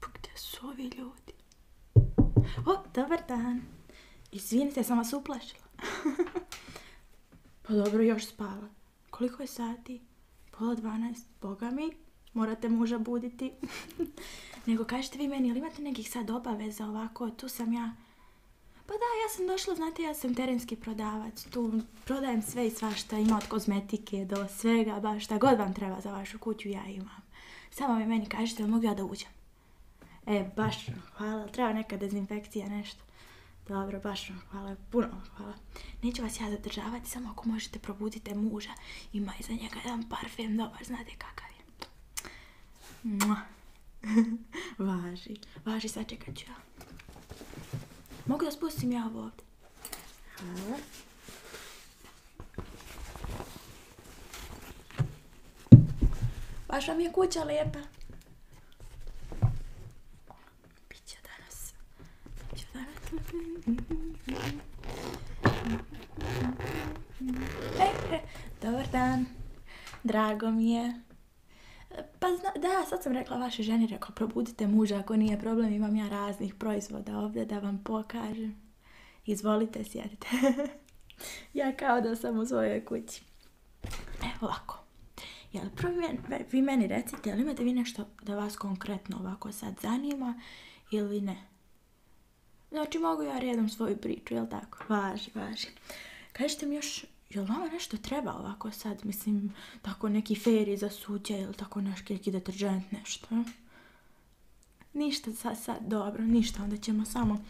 Pa gdje su ovi ljudi? O, dobar dan. Izvinite, sam vas uplašila. pa dobro, još spava. Koliko je sati? Pola dvanaest. Boga mi, morate muža buditi. Nego kažete vi meni, ili imate nekih sad obaveza ovako? Tu sam ja pa da, ja sam došla, znate, ja sam terenski prodavac. Tu prodajem sve i svašta, ima od kozmetike do svega, baš šta god vam treba za vašu kuću, ja imam. Samo mi meni kažete, mogu ja da uđem? E, baš hvala, treba neka dezinfekcija, nešto. Dobro, baš vam hvala, puno hvala. Neću vas ja zadržavati, samo ako možete probudite muža. Ima za njega jedan parfem, dobar, znate kakav je. važi, važi, sad čekat Mogu da spustim ja ovo ovdje? Baš vam je kuća lijepa. Biće danas. Biće danas. E, e, dobar dan. Drago mi je. Pa da, sad sam rekla vašoj ženi, rekao probudite muža ako nije problem, imam ja raznih proizvoda ovdje da vam pokažem. Izvolite, sjedite. ja kao da sam u svojoj kući. Evo ovako. Jel, vi meni recite, jel imate vi nešto da vas konkretno ovako sad zanima ili ne? Znači, mogu ja redom svoju priču, jel tako? Važi, važi. Kažite mi još jel vama nešto treba ovako sad, mislim, tako neki feri za suđe ili tako naš neki deterđent, nešto. Ništa sad, sad, dobro, ništa, onda ćemo samo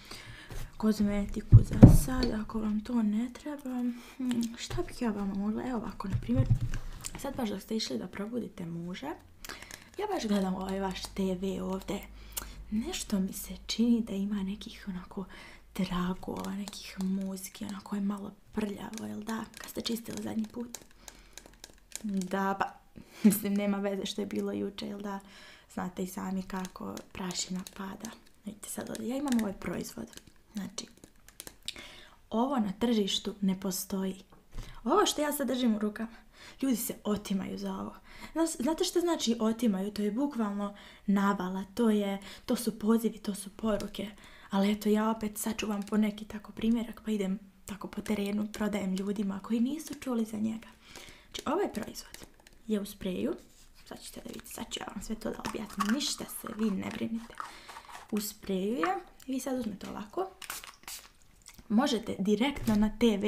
kozmetiku za sad, ako vam to ne treba. Mm, šta bih ja vama mogla, evo ovako, na primjer, sad baš da ste išli da probudite muže, ja baš gledam ovaj vaš TV ovdje, nešto mi se čini da ima nekih onako tragova, nekih ono na je malo prljavo, jel da? Kad ste čistili zadnji put? Da, pa, mislim, nema veze što je bilo juče, jel da? Znate i sami kako prašina pada. Vidite sad ja imam ovaj proizvod. Znači, ovo na tržištu ne postoji. Ovo što ja sad držim u rukama, ljudi se otimaju za ovo. Znate što znači otimaju? To je bukvalno navala, to, je, to su pozivi, to su poruke. Ali eto, ja opet sačuvam po neki tako primjerak pa idem tako po terenu, prodajem ljudima koji nisu čuli za njega. Znači, ovaj proizvod je u spreju. Sad da vidite, sad ću ja vam sve to da objasnim. Ništa se, vi ne brinite. U spreju je. Vi sad uzmete ovako. Možete direktno na TV.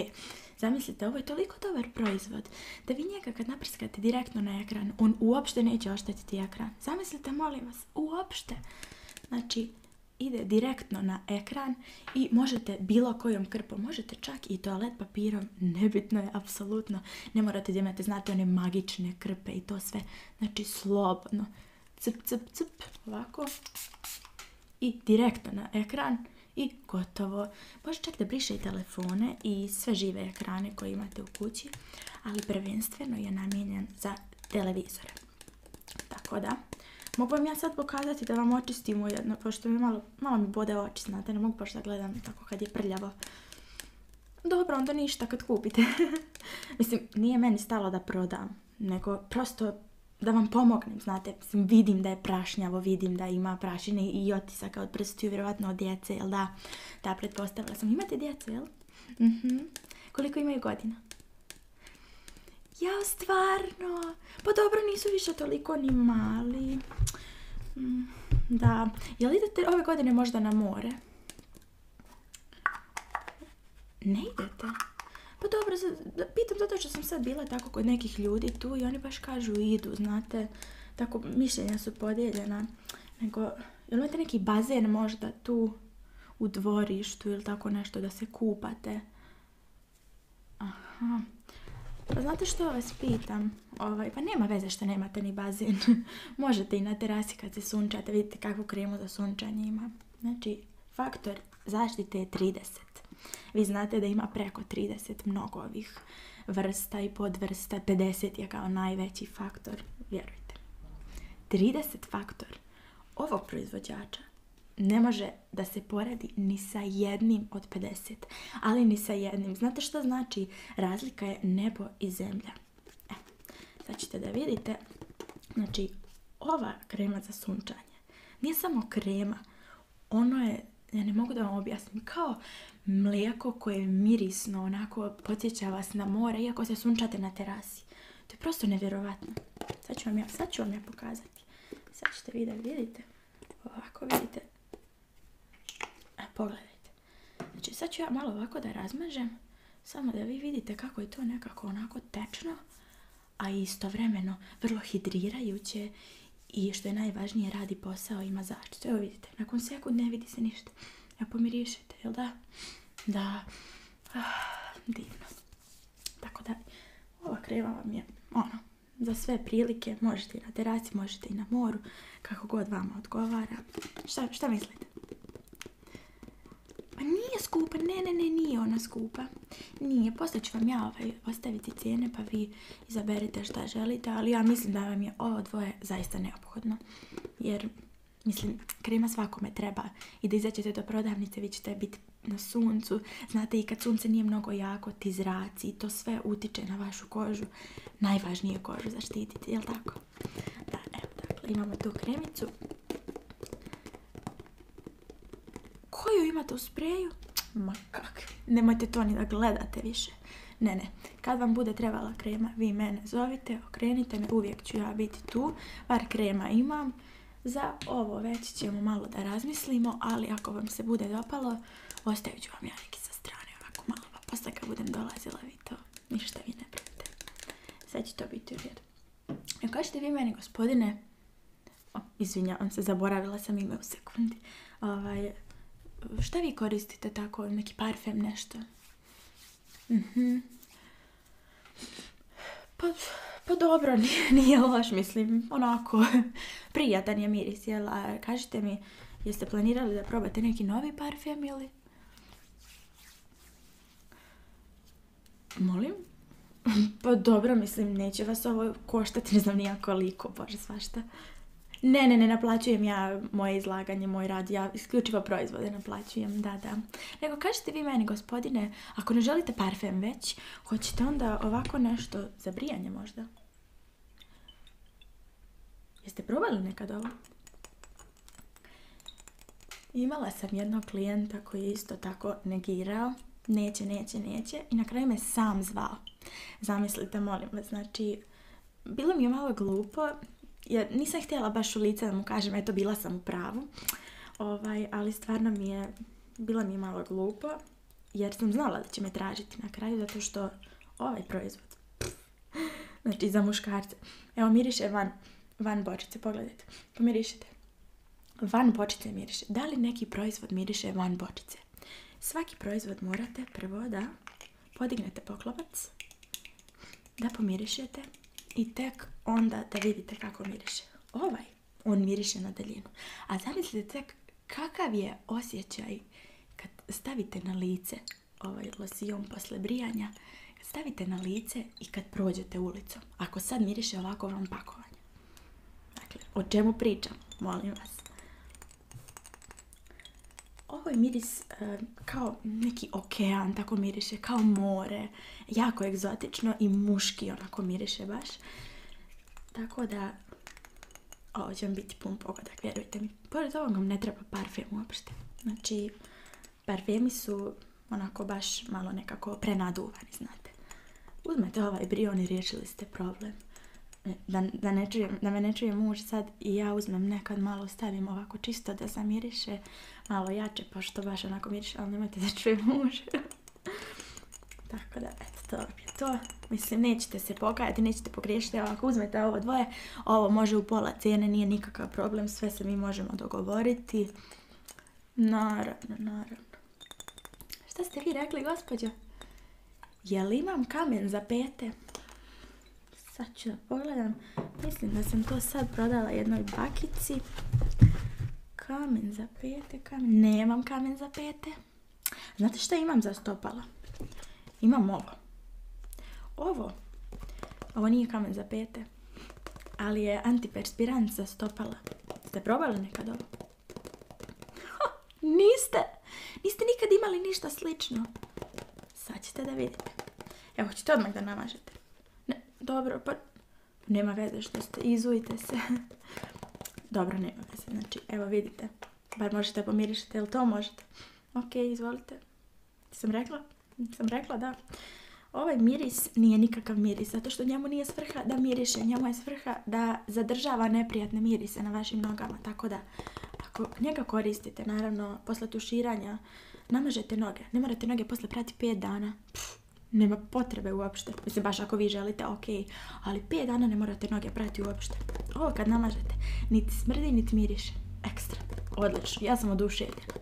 Zamislite, ovo je toliko dobar proizvod da vi njega kad naprskate direktno na ekran, on uopšte neće oštetiti ekran. Zamislite, molim vas, uopšte. Znači, ide direktno na ekran i možete bilo kojom krpom, možete čak i toalet papirom, nebitno je, apsolutno. Ne morate da imate, znate, one magične krpe i to sve. Znači, slobodno. Cp, cp, cp, ovako. I direktno na ekran i gotovo. Možete čak da briše telefone i sve žive ekrane koje imate u kući ali prvenstveno je namijenjen za televizore. Tako da, mogu vam ja sad pokazati da vam očistim ujedno, pošto mi malo, mi bode oči, znate, ne mogu pošto da gledam tako kad je prljavo. Dobro, onda ništa kad kupite. Mislim, nije meni stalo da prodam, nego prosto da vam pomognem, znate, vidim da je prašnjavo, vidim da ima prašine i otisaka od prstiju, vjerojatno od djece, jel da? Da, pretpostavila sam. Imate djecu, jel? Mhm. Koliko imaju godina? Jao, stvarno! Pa dobro, nisu više toliko ni mali. Mm, da. Jel idete ove godine možda na more? Ne idete? Pa dobro, pitam zato što sam sad bila tako kod nekih ljudi tu i oni baš kažu idu, znate. Tako, mišljenja su podijeljena nego jel imate neki bazen možda tu u dvorištu ili tako nešto da se kupate? Aha. Pa znate što vas pitam? Ovaj, pa nema veze što nemate ni bazen. Možete i na terasi kad se sunčate, vidite kakvu kremu za sunčanje ima. Znači, faktor zaštite je 30. Vi znate da ima preko 30 mnogo ovih vrsta i podvrsta, 50 je kao najveći faktor, vjerujte. 30 faktor ovog proizvođača ne može da se poradi ni sa jednim od 50, ali ni sa jednim. Znate što znači? Razlika je nebo i zemlja. E, sad ćete da vidite, znači ova krema za sunčanje nije samo krema, ono je, ja ne mogu da vam objasnim, kao mlijeko koje mirisno, onako podsjeća vas na more, iako se sunčate na terasi. To je prosto nevjerovatno. Sad ću vam ja, sad ću pokazati. Sad ćete vi da vidite. Ovako vidite. A, pogledajte. Znači sad ću ja malo ovako da razmažem. Samo da vi vidite kako je to nekako onako tečno. A istovremeno vrlo hidrirajuće. I što je najvažnije radi posao ima zaštitu. Evo vidite, nakon sekund ne vidi se ništa. Ja pomirišite, pa jel da? Da. Ah, divno. Tako da, ova krema vam je, ono, za sve prilike. Možete i na terasi, možete i na moru. Kako god vama odgovara. Šta, šta mislite? Ma nije skupa, ne, ne, ne, nije ona skupa. Nije, poslije ću vam ja ovaj, ostaviti cijene pa vi izaberite šta želite, ali ja mislim da vam je ovo dvoje zaista neophodno. Ono, jer mislim krema svakome treba i da izađete do prodavnice vi ćete biti na suncu znate i kad sunce nije mnogo jako ti zraci i to sve utiče na vašu kožu najvažnije je kožu zaštititi jel tako? da evo dakle imamo tu kremicu koju imate u spreju? ma kakvi nemojte to ni da gledate više ne ne kad vam bude trebala krema, vi mene zovite, okrenite me, uvijek ću ja biti tu, bar krema imam. Za ovo već ćemo malo da razmislimo, ali ako vam se bude dopalo, ostavit ću vam ja neki sa strane ovako malo, pa posle kad budem dolazila vi to, ništa vi ne prite. Sad će to biti u redu. E, kažete vi meni, gospodine, o, izvinjavam se, zaboravila sam ime u sekundi. Ovaj, šta vi koristite tako? Neki parfem, nešto? Mhm. Pa, pa, dobro, nije, nije loš, mislim, onako, prijatan je miris, jel? kažite mi, jeste planirali da probate neki novi parfem ili? Molim? Pa dobro, mislim, neće vas ovo koštati, ne znam nijako koliko, bože, svašta. Ne, ne, ne naplaćujem ja moje izlaganje, moj rad, ja isključivo proizvode naplaćujem, da, da. Nego kažete vi meni, gospodine, ako ne želite parfem već, hoćete onda ovako nešto za brijanje možda? Jeste probali nekad ovo? Imala sam jednog klijenta koji je isto tako negirao, neće, neće, neće i na kraju me sam zvao. Zamislite, molim vas, znači bilo mi je malo glupo, jer nisam htjela baš u lice da mu kažem, eto bila sam u pravu, ovaj, ali stvarno mi je, bilo mi malo glupo, jer sam znala da će me tražiti na kraju, zato što ovaj proizvod, znači za muškarce, evo miriše van, van bočice, pogledajte, pomirišite. Van bočice miriše. Da li neki proizvod miriše van bočice? Svaki proizvod morate prvo da podignete poklopac, da pomirišete i tek onda da vidite kako miriše. Ovaj, on miriše na daljinu. A zamislite tek kakav je osjećaj kad stavite na lice ovaj losion posle brijanja, stavite na lice i kad prođete ulicom. Ako sad miriše ovako vam pakovanje. Dakle, o čemu pričam, molim vas. Ovo je miris e, kao neki okean, tako miriše, kao more. Jako egzotično i muški onako miriše baš. Tako da, ovo će vam biti pun pogodak, vjerujte mi. Pored ovog vam ne treba parfem uopšte. Znači, parfemi su onako baš malo nekako prenaduvani, znate. Uzmete ovaj brion i riješili ste problem da, ne čuje, me ne čuje muž sad i ja uzmem nekad malo stavim ovako čisto da zamiriše malo jače pošto baš onako miriše ali nemojte da čuje muž tako da eto to je to mislim nećete se pokajati nećete pogriješiti ovako ako uzmete ovo dvoje ovo može u pola cijene nije nikakav problem sve se mi možemo dogovoriti naravno naravno šta ste vi rekli gospođa? Jel imam kamen za pete? Sad ću pogledam. Mislim da sam to sad prodala jednoj bakici. Kamen za pete, kamen. Nemam kamen za pete. Znate šta imam za stopala? Imam ovo. Ovo. Ovo nije kamen za pete. Ali je antiperspirant za stopala. Ste probali nekad ovo? Niste! Niste nikad imali ništa slično. Sad ćete da vidite. Evo, hoćete odmah da namažete. Ne, dobro, pa... Nema veze što ste, izujte se. dobro, nema veze. Znači, evo vidite. Bar možete pomirišiti, jel to možete? Ok, izvolite. Sam rekla? Sam rekla, da. Ovaj miris nije nikakav miris, zato što njemu nije svrha da miriše, njemu je svrha da zadržava neprijatne mirise na vašim nogama, tako da ako njega koristite, naravno, posle tuširanja, namažete noge. Ne morate noge posle prati 5 dana. nema potrebe uopšte. Mislim, baš ako vi želite, ok. Ali 5 dana ne morate noge prati uopšte. Ovo kad namažete, niti smrdi, niti miriše. Ekstra. Odlično. Ja sam oduševljena.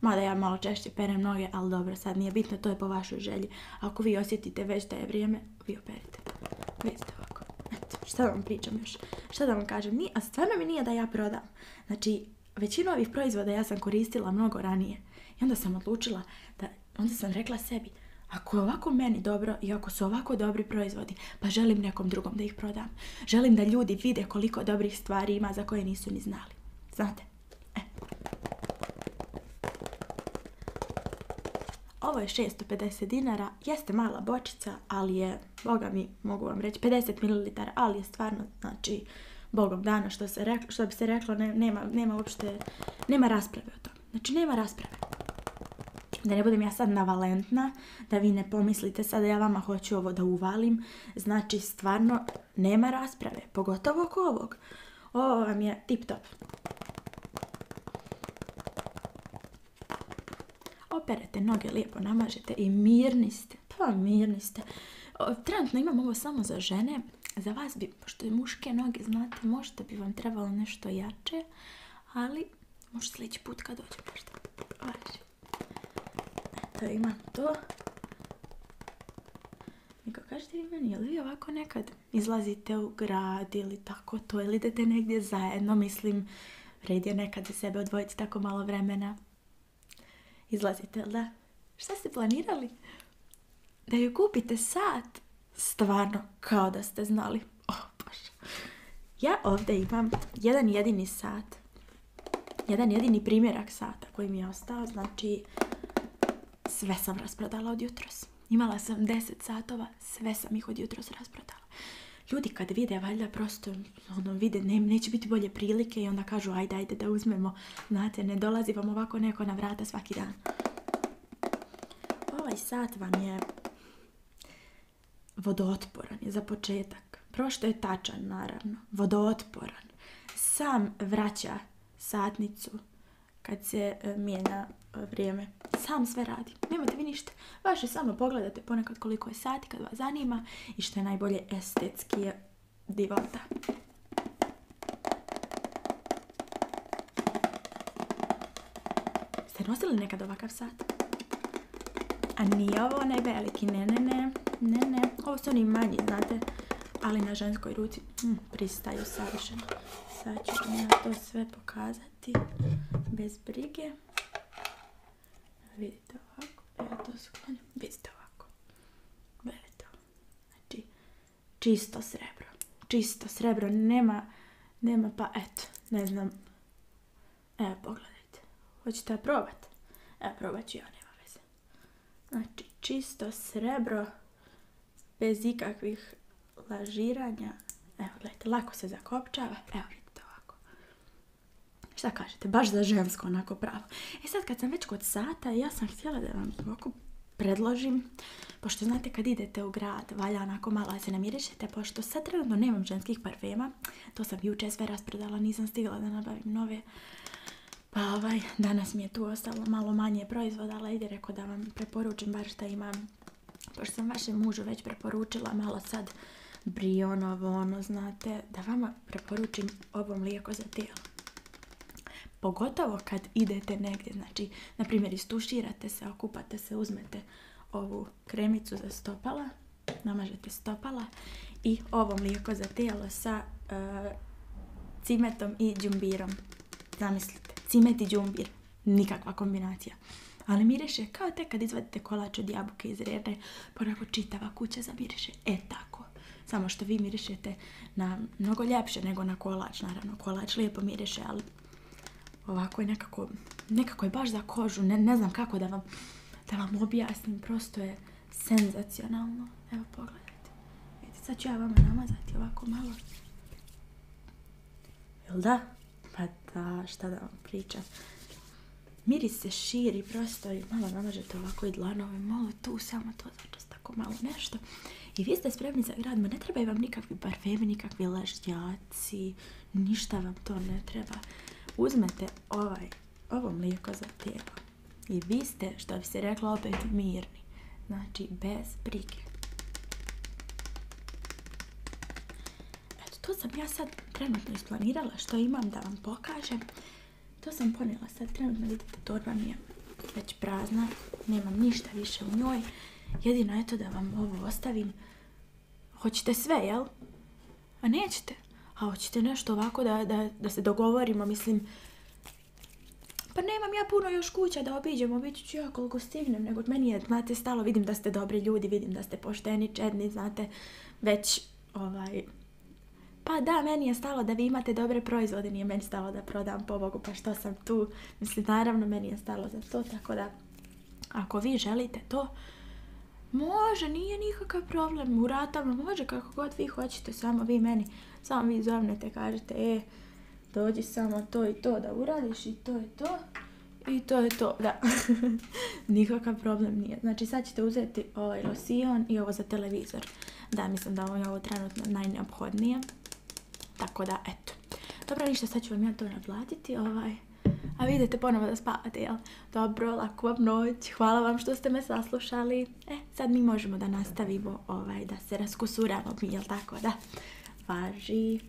Mada ja malo češće perem noge, ali dobro, sad nije bitno, to je po vašoj želji. Ako vi osjetite već da je vrijeme, vi operite. Vidite ovako. šta vam pričam još? šta da vam kažem, ni, a stvarno mi nije da ja prodam. Znači, većinu ovih proizvoda ja sam koristila mnogo ranije. I onda sam odlučila da, onda sam rekla sebi, ako je ovako meni dobro i ako su ovako dobri proizvodi, pa želim nekom drugom da ih prodam. Želim da ljudi vide koliko dobrih stvari ima za koje nisu ni znali. Znate? E. Ovo je 650 dinara, jeste mala bočica, ali je, boga mi, mogu vam reći, 50 ml, ali je stvarno, znači, bogom dana, što, se što bi se reklo, nema, nema uopšte, nema rasprave o tome. Znači, nema rasprave. Da ne budem ja sad navalentna, da vi ne pomislite sad da ja vama hoću ovo da uvalim. Znači, stvarno, nema rasprave, pogotovo oko ovog. Ovo vam je tip top. Operete noge, lijepo namažete i mirni ste. Pa mirni ste. Trenutno imam ovo samo za žene. Za vas bi, što je muške noge, znate, možda bi vam trebalo nešto jače. Ali, možda sljedeći put kad dođe možda. Važi. Eto, imam to. Niko, kažete vi meni, jel vi ovako nekad izlazite u grad ili tako to, ili idete negdje zajedno, mislim, Vredio je nekad za sebe odvojiti tako malo vremena. Izlazite, da? Šta ste planirali? Da ju kupite sat? Stvarno, kao da ste znali. Oh, bože. Ja ovdje imam jedan jedini sat. Jedan jedini primjerak sata koji mi je ostao. Znači, sve sam rasprodala od jutros. Imala sam 10 satova sve sam ih od jutros rasprodala. Ljudi kad vide, valjda prosto ono, vide, ne, neće biti bolje prilike i onda kažu ajde, ajde da uzmemo. Znate, ne dolazi vam ovako neko na vrata svaki dan. Ovaj sat vam je vodootporan je za početak. Prošto je tačan, naravno. Vodootporan. Sam vraća satnicu kad se e, mijenja e, vrijeme. Sam sve radi. Nemate vi ništa. Vaše samo pogledate ponekad koliko je sati kad vas zanima i što je najbolje estetski je divota. Ste nosili nekad ovakav sat? A nije ovo onaj veliki, ne, ne, ne, Ovo su oni manji, znate, ali na ženskoj ruci hm, pristaju savršeno. Sad ću to sve pokazati bez brige. Vidite ovako, ja to sklonim, vidite ovako, gledajte znači čisto srebro, čisto srebro, nema, nema pa eto, ne znam, evo pogledajte, hoćete ja probate? evo probat ću ja, nema veze, znači čisto srebro, bez ikakvih lažiranja, evo gledajte, lako se zakopčava, evo vidite ovako, Šta kažete? Baš za žensko onako pravo. E sad kad sam već kod sata, ja sam htjela da vam ovako predložim, pošto znate kad idete u grad, valja onako malo da se namirišete, pošto sad trenutno nemam ženskih parfema, to sam jučer sve raspredala, nisam stigla da nabavim nove, pa ovaj, danas mi je tu ostalo malo manje proizvoda, ali ide rekao da vam preporučim bar šta imam pošto sam vašem mužu već preporučila malo sad brionovo, ono, znate, da vama preporučim ovo mlijeko za tijelo. Pogotovo kad idete negdje, znači, na primjer, istuširate se, okupate se, uzmete ovu kremicu za stopala, namažete stopala i ovo mlijeko za tijelo sa e, cimetom i džumbirom. Zamislite, cimet i džumbir, nikakva kombinacija ali miriše kao te kad izvadite kolač od jabuke iz rerne, kuće čitava kuća E tako. Samo što vi mirišete na mnogo ljepše nego na kolač, naravno. Kolač lijepo miriše, ali ovako je nekako, nekako je baš za kožu. Ne, znam kako da vam, vam objasnim, prosto je senzacionalno. Evo pogledajte. Vidite, sad ću ja vam namazati ovako malo. Jel da? Pa da, šta da vam pričam. Miris se širi prosto i malo namažete ovako i dlanove, malo tu, samo to, tako malo nešto. I vi ste spremni za grad, ma ne trebaju vam nikakvi parfemi, nikakvi lažnjaci, ništa vam to ne treba. Uzmete ovaj, ovo mlijeko za tijelo i vi ste, što bi se reklo, opet mirni. Znači, bez brige. Eto, to sam ja sad trenutno isplanirala što imam da vam pokažem. To sam ponijela sad trenutno, vidite, torba mi je već prazna, nemam ništa više u njoj. Jedino je to da vam ovo ostavim. Hoćete sve, jel? A nećete? A hoćete nešto ovako da, se dogovorimo, mislim... Pa nemam ja puno još kuća da obiđem, obiđu ću ja koliko stignem, nego meni je znate, stalo vidim da ste dobri ljudi, vidim da ste pošteni, čedni, znate, već, ovaj, pa da, meni je stalo da vi imate dobre proizvode, nije meni stalo da prodam pobogu, pa što sam tu, mislim, naravno, meni je stalo za to, tako da, ako vi želite to, može, nije nikakav problem, u ratama može, kako god vi hoćete, samo vi meni, samo vi zovnete, kažete, e, dođi samo to i to da uradiš i to i to, i to je to, da. Nikakav problem nije. Znači sad ćete uzeti ovaj losion i ovo za televizor. Da, mislim da ovo je ovo trenutno najneophodnije. Tako da, eto. Dobro, ništa, sad ću vam ja to naplatiti, ovaj. A vi idete ponovo da spavate, jel? Dobro, laku vam noć, hvala vam što ste me saslušali. E, sad mi možemo da nastavimo, ovaj, da se raskusuramo mi, jel tako, da? Važi.